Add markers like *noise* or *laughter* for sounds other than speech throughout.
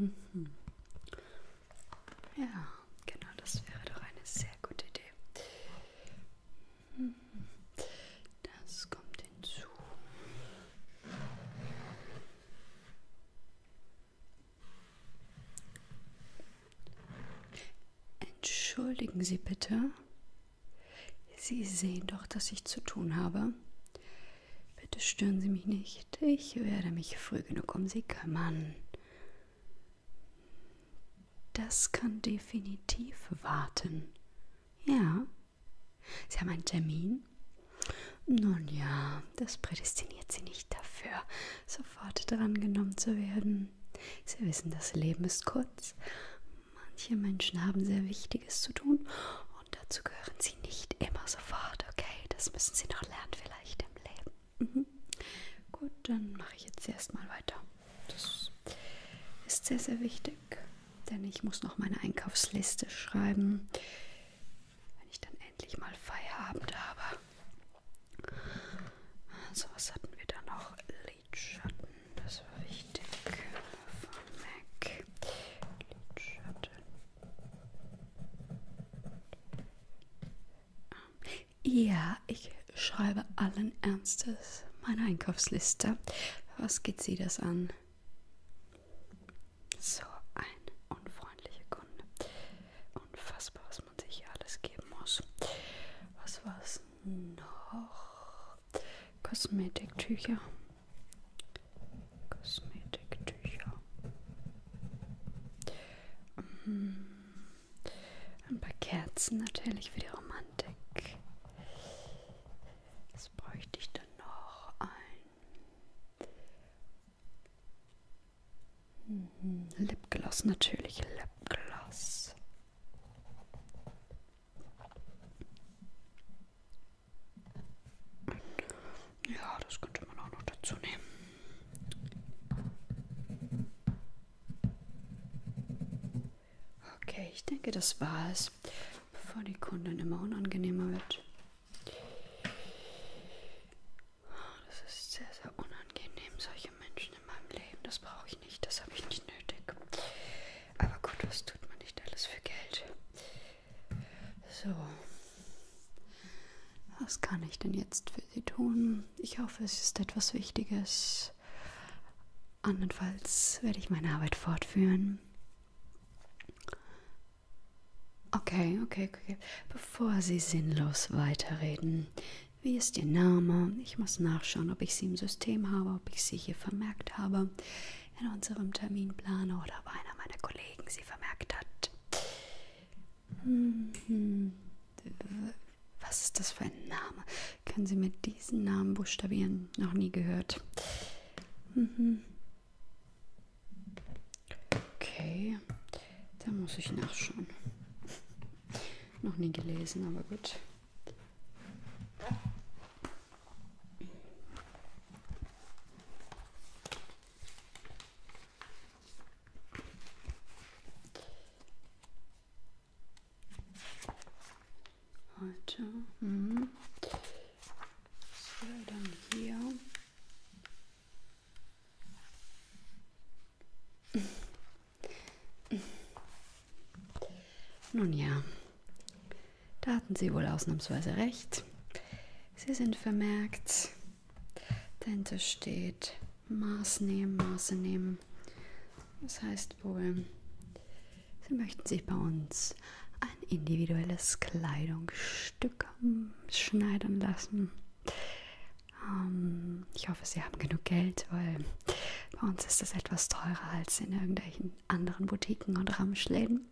Mhm. Ja, genau, das wäre doch eine sehr gute Idee. Mhm. Das kommt hinzu. Entschuldigen Sie bitte. Sie sehen doch, dass ich zu tun habe. Bitte stören Sie mich nicht. Ich werde mich früh genug um Sie kümmern. Das kann definitiv warten. Ja. Sie haben einen Termin? Nun ja, das prädestiniert Sie nicht dafür sofort drangenommen zu werden. Sie wissen, das Leben ist kurz. Manche Menschen haben sehr Wichtiges zu tun und dazu gehören sie nicht immer sofort, okay? Das müssen sie noch lernen vielleicht im Leben. Mhm. Gut, dann mache ich jetzt erstmal weiter. Das ist sehr, sehr wichtig, denn ich muss noch meine Einkaufsliste schreiben wenn ich dann endlich mal Feierabend habe. So, was hatten wir da noch? Lidschatten, das war wichtig. Von MAC. Lidschatten. Ja, ich schreibe allen Ernstes meine Einkaufsliste. Was geht sie das an? So eine unfreundliche Kunde. Unfassbar, was man sich hier alles geben muss. Was war es noch? Kosmetiktücher. Kosmetiktücher. Mhm. Ein paar Kerzen natürlich für die Romantik. Was bräuchte ich dann noch? Ein Mhm. Lipgloss natürlich, Lipgloss. Ja, das könnte man auch noch dazu nehmen. Okay, ich denke, das war es, bevor die Kundin immer unangenehmer wird. Das ist sehr, sehr unangenehm, solche Menschen in meinem Leben. Das brauche ich nicht, das habe ich nicht nötig. Aber gut, was tut man nicht alles für Geld? So. Was kann ich denn jetzt für Sie tun? Ich hoffe, es ist etwas Wichtiges. Andernfalls werde ich meine Arbeit fortführen. Okay, okay, okay. Bevor Sie sinnlos weiterreden, wie ist Ihr Name? Ich muss nachschauen, ob ich Sie im System habe, ob ich Sie hier vermerkt habe in unserem Terminplaner oder ob einer meiner Kollegen Sie vermerkt hat. Hm, was ist das für ein Name? Können Sie mir diesen Namen buchstabieren? Noch nie gehört. Mhm. Okay, da muss ich nachschauen. *laughs* Noch nie gelesen, aber gut. Heute. Mhm. So, dann hier. Nun ja, da hatten Sie wohl ausnahmsweise recht. Sie sind vermerkt. Dahinter steht Maß nehmen, Maße nehmen. Das heißt wohl, Sie möchten sich bei uns ein individuelles Kleidungsstück ähm, schneidern lassen. Ähm, ich hoffe, Sie haben genug Geld, weil bei uns ist das etwas teurer als in irgendwelchen anderen Boutiquen und Ramschläden.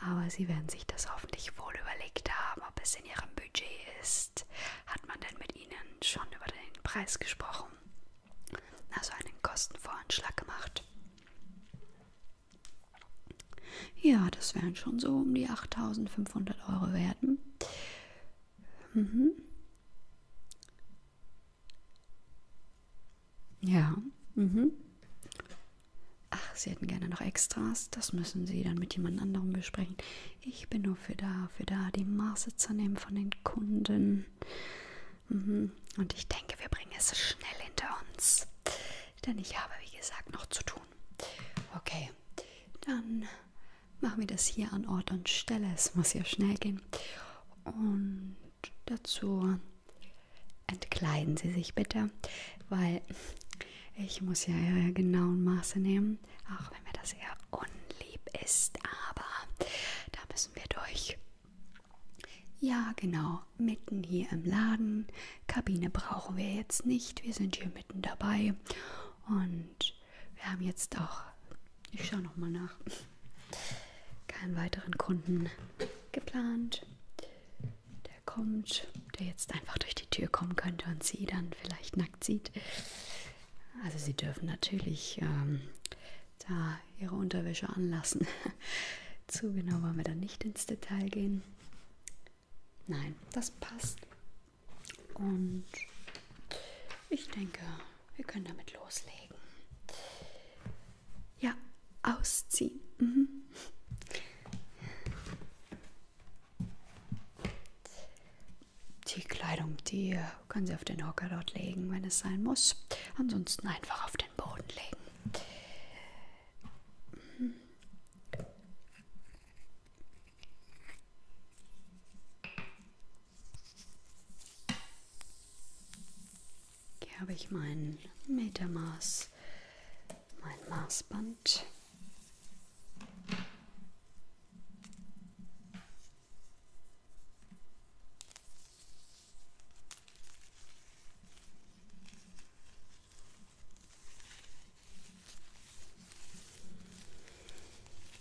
Aber Sie werden sich das hoffentlich wohl überlegt haben, ob es in Ihrem Budget ist. Hat man denn mit Ihnen schon über den Preis gesprochen? Also einen Kostenvoranschlag gemacht. Ja, das wären schon so um die 8500 Euro werden. Hm? Mhm. Ja, mhm. Ach, Sie hätten gerne noch Extras. Das müssen Sie dann mit jemand anderem besprechen. Ich bin nur für da, für da, die Maße zu nehmen von den Kunden. Mhm. Und ich denke, wir bringen es schnell hinter uns denn ich habe, wie gesagt, noch zu tun. Okay, dann machen wir das hier an Ort und Stelle. Es muss ja schnell gehen. Und dazu entkleiden Sie sich bitte, weil ich muss ja Ihre genauen Maße nehmen, auch wenn mir das eher unlieb ist, aber da müssen wir durch. Ja, genau mitten hier im Laden. Kabine brauchen wir jetzt nicht. Wir sind hier mitten dabei. Und wir haben jetzt auch, ich schaue nochmal nach, keinen weiteren Kunden geplant. Der kommt, der jetzt einfach durch die Tür kommen könnte und sie dann vielleicht nackt sieht. Also sie dürfen natürlich ähm, da ihre Unterwäsche anlassen. *laughs* *laughs* Zu genau wollen wir dann nicht ins Detail gehen. Nein, das passt. Und ich denke, wir können damit loslegen. Ja, ausziehen. Mhm. Die Kleidung, die können Sie auf den Hocker dort legen, wenn es sein muss. Ansonsten einfach auf den Boden legen. Hier habe ich mein Metermaß, mein Maßband.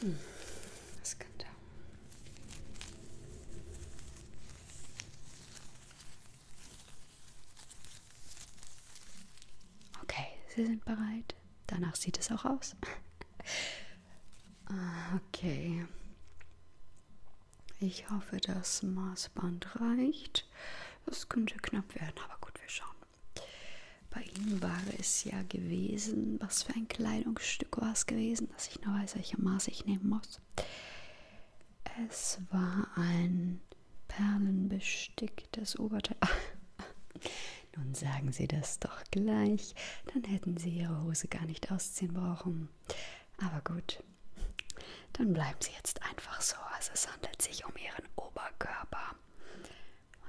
Hm, das könnte. Okay, Sie sind bereit. Danach sieht es auch aus. *laughs* Ah, okay. Ich hoffe, das Maßband reicht. Das könnte knapp werden, aber gut, wir schauen. Bei Ihnen war es ja gewesen, was für ein Kleidungsstück war es gewesen, dass ich nur weiß, welche Maß ich nehmen muss. Es war ein perlenbesticktes Oberteil. *laughs* Nun sagen Sie das doch gleich, dann hätten Sie Ihre Hose gar nicht ausziehen brauchen. Aber gut, dann bleiben Sie jetzt einfach so. Also es handelt sich um Ihren Oberkörper.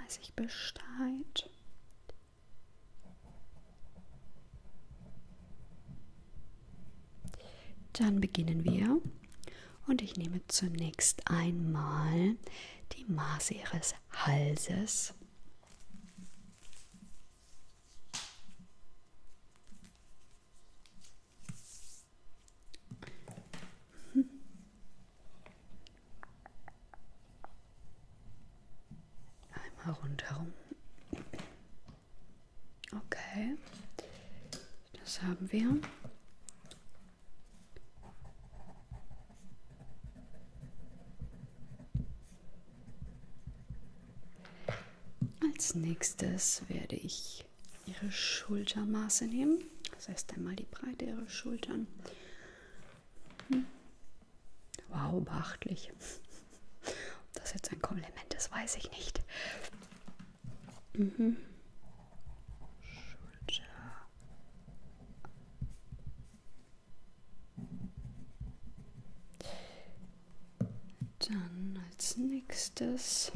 Weiß ich Bescheid. Dann beginnen wir und ich nehme zunächst einmal die Maße Ihres Halses. Hm. Einmal rundherum. Okay, das haben wir. Als nächstes werde ich ihre Schultermaße nehmen. Das heißt einmal die Breite ihrer Schultern. Hm. Wow, beachtlich. Ob das jetzt ein Kompliment ist, weiß ich nicht. Mhm. Schulter. Dann als nächstes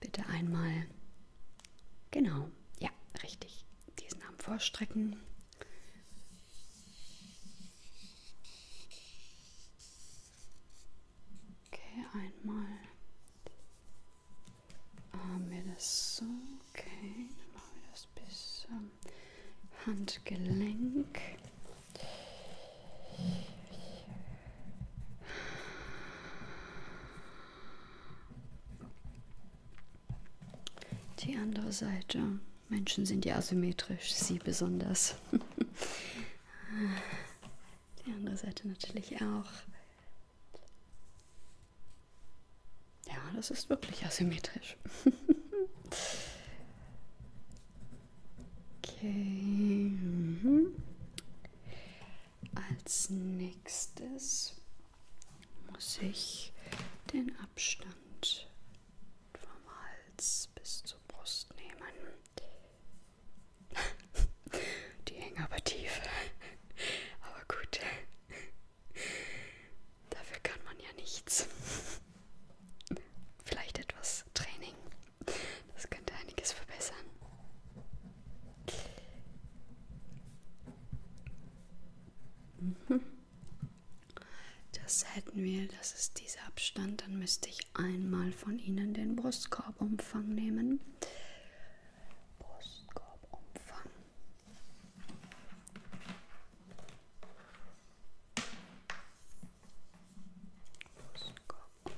bitte einmal, genau, ja, richtig, diesen Arm vorstrecken. Okay, einmal haben wir das so, okay, dann machen wir das Fuß bis ähm, Handgelenk. Die andere Seite. Menschen sind ja asymmetrisch, sie besonders. *laughs* Die andere Seite natürlich auch. Ja, das ist wirklich asymmetrisch. *laughs* Okay. Mhm. Als nächstes muss ich den Abstand vom Hals bis zur Brust nehmen. *laughs* Die hängen aber tief. *laughs* Aber gut. Dafür kann man ja nichts. *laughs* Vielleicht etwas Training. Das könnte einiges verbessern. Mhm. Das hätten wir, das ist dieser Abstand. Dann müsste ich einmal von Ihnen den Brustkorbumfang nehmen. Brustkorbumfang. Brustkorb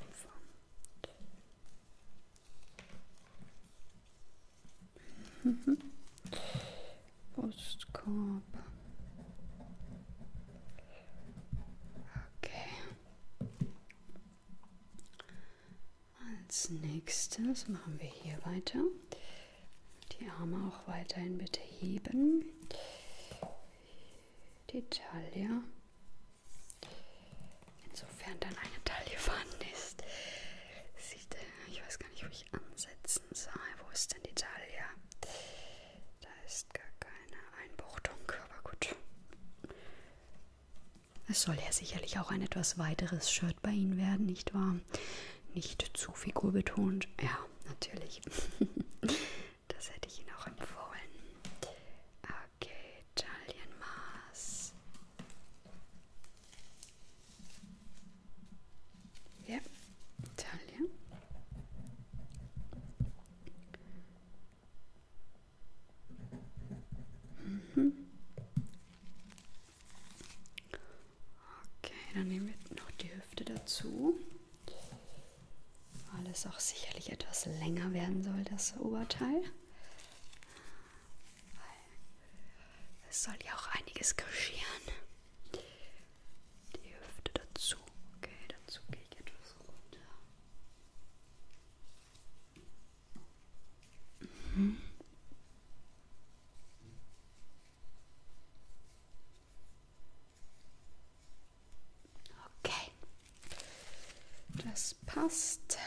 Brustkorb. Okay. Als nächstes machen wir hier weiter. Die Arme auch weiterhin bitte heben. Die Taille. Insofern dann eine Taille vorhanden ist. Sieht, äh, ich weiß gar nicht, wo ich ansetzen soll. Wo ist denn die Taille? Da ist gar keine Einbuchtung, aber gut. Es soll ja sicherlich auch ein etwas weiteres Shirt bei Ihnen werden, nicht wahr? nicht zu figurbetont. Ja, natürlich. *laughs* das hätte ich Ihnen auch empfohlen. Okay, Talienmaß. Ja, Italien. Mhm. Okay, dann nehmen wir noch die Hüfte dazu, weil es auch sicherlich etwas länger werden soll, das Oberteil. Es soll ja auch einiges kaschieren. Die Hüfte dazu. Okay, dazu gehe ich etwas runter. Mhm. Okay, das passt.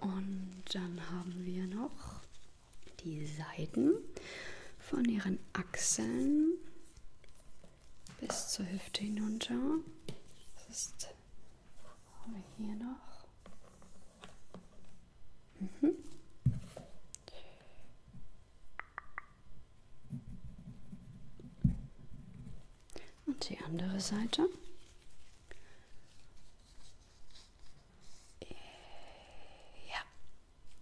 Und dann haben wir noch die Seiten von ihren Achseln bis zur Hüfte hinunter. Das ist hier noch. Mhm. Und die andere Seite. Äh, ja.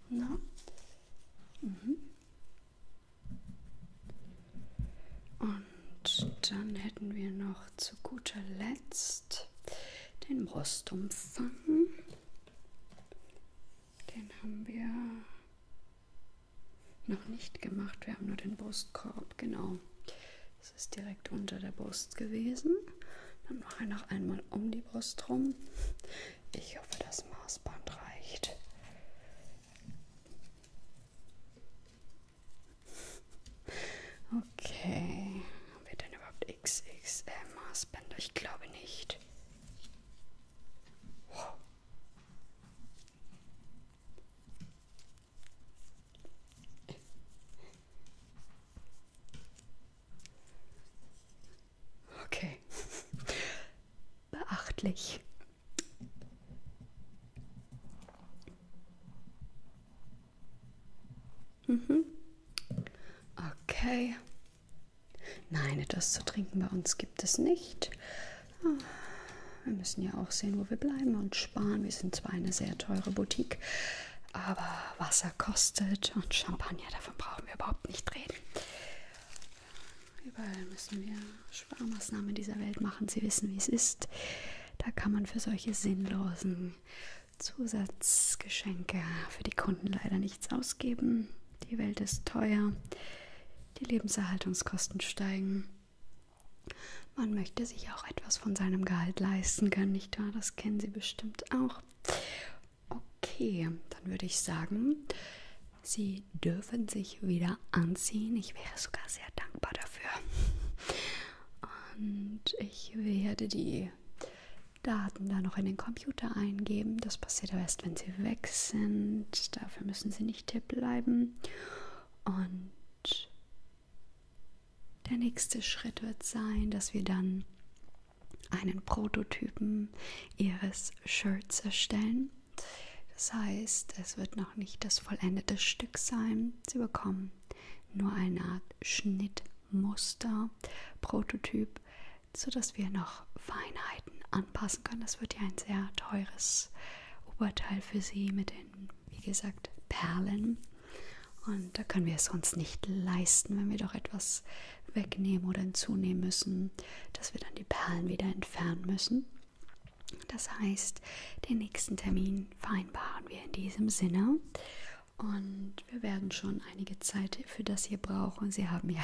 Na? Mhm. Und dann hätten wir noch zu guter Letzt den Brustumfang. Den haben wir noch nicht gemacht. Wir haben nur den Brustkorb, genau. Das ist direkt unter der Brust gewesen. Dann mache ich noch einmal um die Brust rum ich hoffe, das Maßband reicht. Okay. Haben wir denn überhaupt XXL-Maßbänder? Ich glaube nicht. Wow. Okay. Beachtlich. Mhm. Okay. Nein, etwas zu trinken bei uns gibt es nicht. Ah, wir müssen ja auch sehen, wo wir bleiben und sparen. Wir sind zwar eine sehr teure Boutique, aber Wasser kostet und Champagner, davon brauchen wir überhaupt nicht reden. Überall müssen wir Sparmaßnahmen in dieser Welt machen. Sie wissen, wie es ist. Da kann man für solche sinnlosen Zusatzgeschenke für die Kunden leider nichts ausgeben. Die Welt ist teuer. Die Lebenserhaltungskosten steigen. Man möchte sich auch etwas von seinem Gehalt leisten können, nicht wahr? Das kennen Sie bestimmt auch. Okay, dann würde ich sagen, Sie dürfen sich wieder anziehen. Ich wäre sogar sehr dankbar dafür. Und ich werde die Daten da noch in den Computer eingeben. Das passiert aber erst, wenn Sie weg sind. Dafür müssen Sie nicht tipp bleiben. Und der nächste Schritt wird sein, dass wir dann einen Prototypen ihres Shirts erstellen. Das heißt, es wird noch nicht das vollendete Stück sein. Sie bekommen nur eine Art Schnittmuster, Prototyp, sodass wir noch Feinheiten anpassen können. Das wird ja ein sehr teures Oberteil für Sie mit den, wie gesagt, Perlen. Und da können wir es uns nicht leisten, wenn wir doch etwas wegnehmen oder hinzunehmen müssen, dass wir dann die Perlen wieder entfernen müssen. Das heißt, den nächsten Termin vereinbaren wir in diesem Sinne. Und wir werden schon einige Zeit für das hier brauchen. Sie haben ja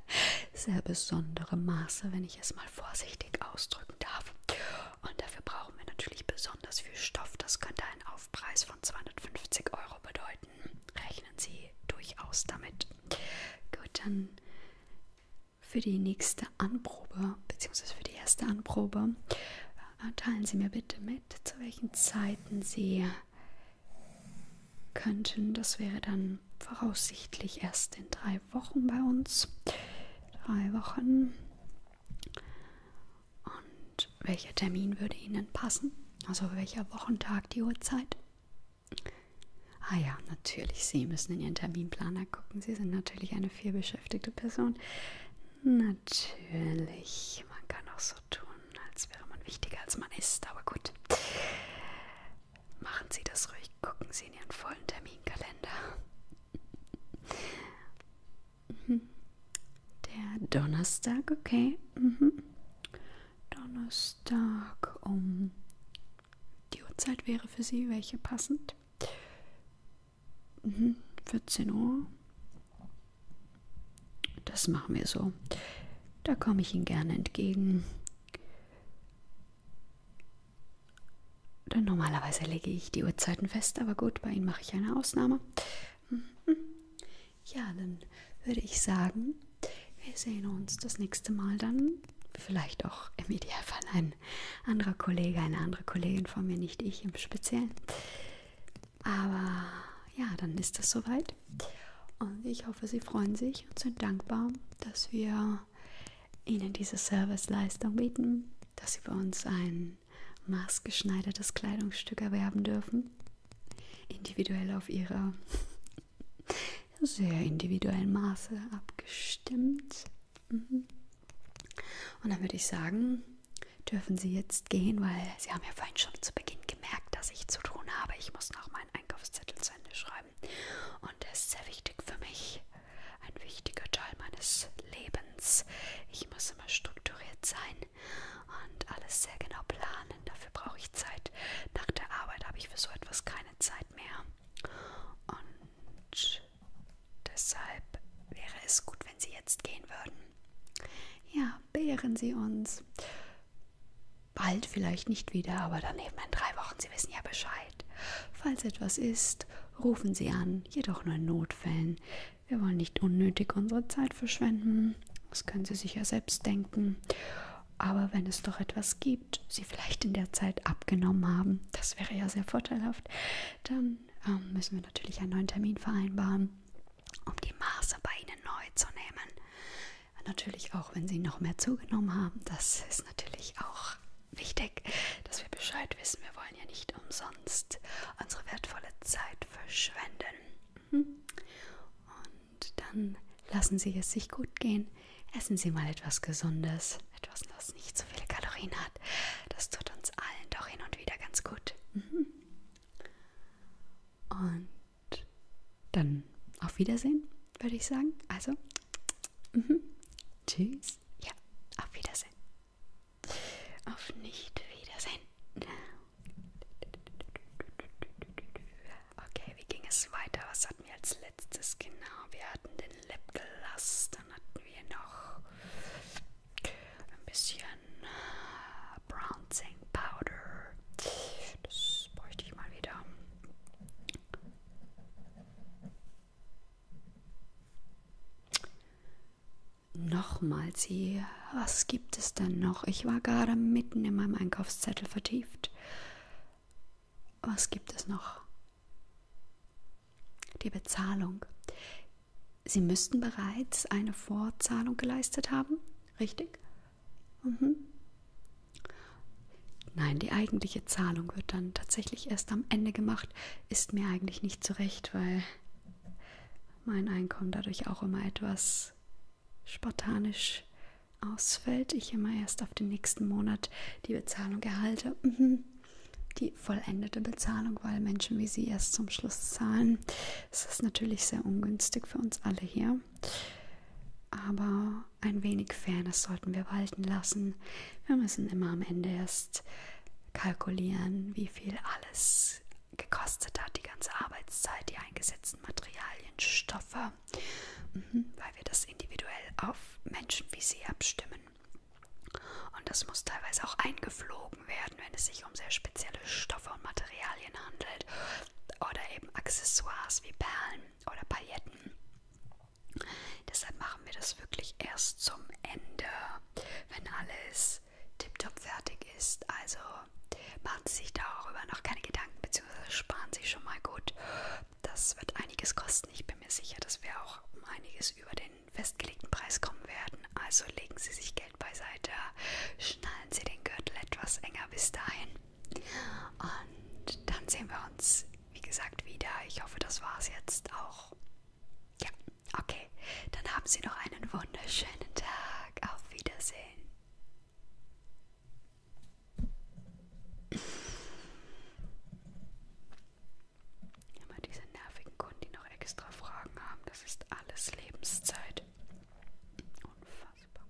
*laughs* sehr besondere Maße, wenn ich es mal vorsichtig ausdrücken darf. Und dafür brauchen wir natürlich besonders viel Stoff. Das könnte ein Kaufpreis von 250 Euro bedeuten. Rechnen Sie durchaus damit. Gut, dann für die nächste Anprobe, beziehungsweise für die erste Anprobe, äh, teilen Sie mir bitte mit, zu welchen Zeiten Sie könnten. Das wäre dann voraussichtlich erst in drei Wochen bei uns. Drei Wochen. Und welcher Termin würde Ihnen passen? Also welcher Wochentag, die Uhrzeit? Ah ja, natürlich, Sie müssen in Ihren Terminplaner gucken. Sie sind natürlich eine vielbeschäftigte Person. Natürlich, man kann auch so tun, als wäre man wichtiger, als man ist. Aber gut, machen Sie das ruhig. Gucken Sie in Ihren vollen Terminkalender. Der Donnerstag, okay. Mhm. Donnerstag um die Uhrzeit wäre für Sie welche passend? Mhm. 14 Uhr. Das machen wir so. Da komme ich Ihnen gerne entgegen. Denn normalerweise lege ich die Uhrzeiten fest, aber gut, bei Ihnen mache ich eine Ausnahme. Mhm. Ja, dann würde ich sagen, wir sehen uns das nächste Mal dann. Vielleicht auch im Idealfall ein anderer Kollege, eine andere Kollegin von mir, nicht ich im Speziellen. Aber ja, dann ist das soweit. Und ich hoffe, Sie freuen sich und sind dankbar, dass wir Ihnen diese Serviceleistung bieten, dass Sie bei uns ein ein maßgeschneidertes Kleidungsstück erwerben dürfen. Individuell auf ihre sehr individuellen Maße abgestimmt. Mhm. Und dann würde ich sagen, dürfen Sie jetzt gehen, weil Sie haben ja vorhin schon zu Beginn gemerkt, dass ich zu tun habe. Ich muss noch meinen Einkaufszettel zu Ende schreiben. Und das ist sehr wichtig für mich. Ein wichtiger Teil meines Lebens. Ich muss immer strukturiert sein und alles sehr genau planen. Dafür brauche ich Zeit. Nach der Arbeit habe ich für so etwas keine Zeit mehr. Und deshalb wäre es gut, wenn Sie jetzt gehen würden. Ja, belehren Sie uns. Bald vielleicht nicht wieder, aber dann eben in drei Wochen. Sie wissen ja Bescheid. Falls etwas ist, rufen Sie an, jedoch nur in Notfällen. Wir wollen nicht unnötig unsere Zeit verschwenden. Das können Sie sich ja selbst denken. Aber wenn es doch etwas gibt, Sie vielleicht in der Zeit abgenommen haben, das wäre ja sehr vorteilhaft, dann ähm, müssen wir natürlich einen neuen Termin vereinbaren, um die Maße bei Ihnen neu zu nehmen. Natürlich auch, wenn Sie noch mehr zugenommen haben, das ist natürlich auch wichtig, dass wir Bescheid wissen. Wir wollen wollen ja nicht umsonst unsere wertvolle Zeit verschwenden. Mhm. Und dann lassen Sie es sich gut gehen. Essen Sie mal etwas Gesundes, etwas, was nicht so viele Kalorien hat. Das tut uns allen doch hin und wieder ganz gut. Mhm. Und dann auf Wiedersehen, würde ich sagen. Also, mhm. tschüss. Ja, auf Wiedersehen. Auf Nicht-Wiedersehen. Okay, wie ging es weiter? Was hatten wir als letztes? Genau, wir hatten den Lip Glass, dann hatten wir noch ein bisschen äh, Bronzing Powder. Das bräuchte ich mal wieder. Nochmals hier, was gibt es denn noch? Ich war gerade mitten in meinem Einkaufszettel vertieft. Was gibt es noch? Die Bezahlung. Sie müssten bereits eine Vorzahlung geleistet haben, richtig? Mhm. Nein, die eigentliche Zahlung wird dann tatsächlich erst am Ende gemacht. Ist mir eigentlich nicht zurecht, weil mein Einkommen dadurch auch immer etwas spartanisch ausfällt. Ich immer erst auf den nächsten Monat die Bezahlung erhalte. Mhm. Die vollendete Bezahlung, weil Menschen wie Sie erst zum Schluss zahlen. Das ist natürlich sehr ungünstig für uns alle hier. Aber ein wenig Fairness sollten wir walten lassen. Wir müssen immer am Ende erst kalkulieren, wie viel alles gekostet hat, die ganze Arbeitszeit, die eingesetzten Materialien, Stoffe, mhm, weil wir das individuell auf Menschen wie sie abstimmen. Und das muss teilweise auch eingeflogen werden, wenn es sich um sehr spezielle Stoffe und Materialien handelt oder eben Accessoires wie Perlen oder Pailletten. Deshalb machen wir das wirklich erst zum Ende wenn alles tiptop fertig ist. Also machen Sie sich darüber noch keine Gedanken, beziehungsweise sparen Sie schon mal gut. Das wird einiges kosten. Ich bin mir sicher, dass wir auch um einiges über den festgelegten Preis kommen werden. Also legen Sie sich Geld beiseite, schnallen Sie den Gürtel etwas enger bis dahin. Und dann sehen wir uns, wie gesagt, wieder. Ich hoffe, das war es jetzt auch ja, okay. Dann haben Sie noch einen wunderschönen Tag. Auf Wiedersehen. Immer diese nervigen Kunden, die noch extra Fragen haben, das ist alles Lebenszeit. Unfassbar.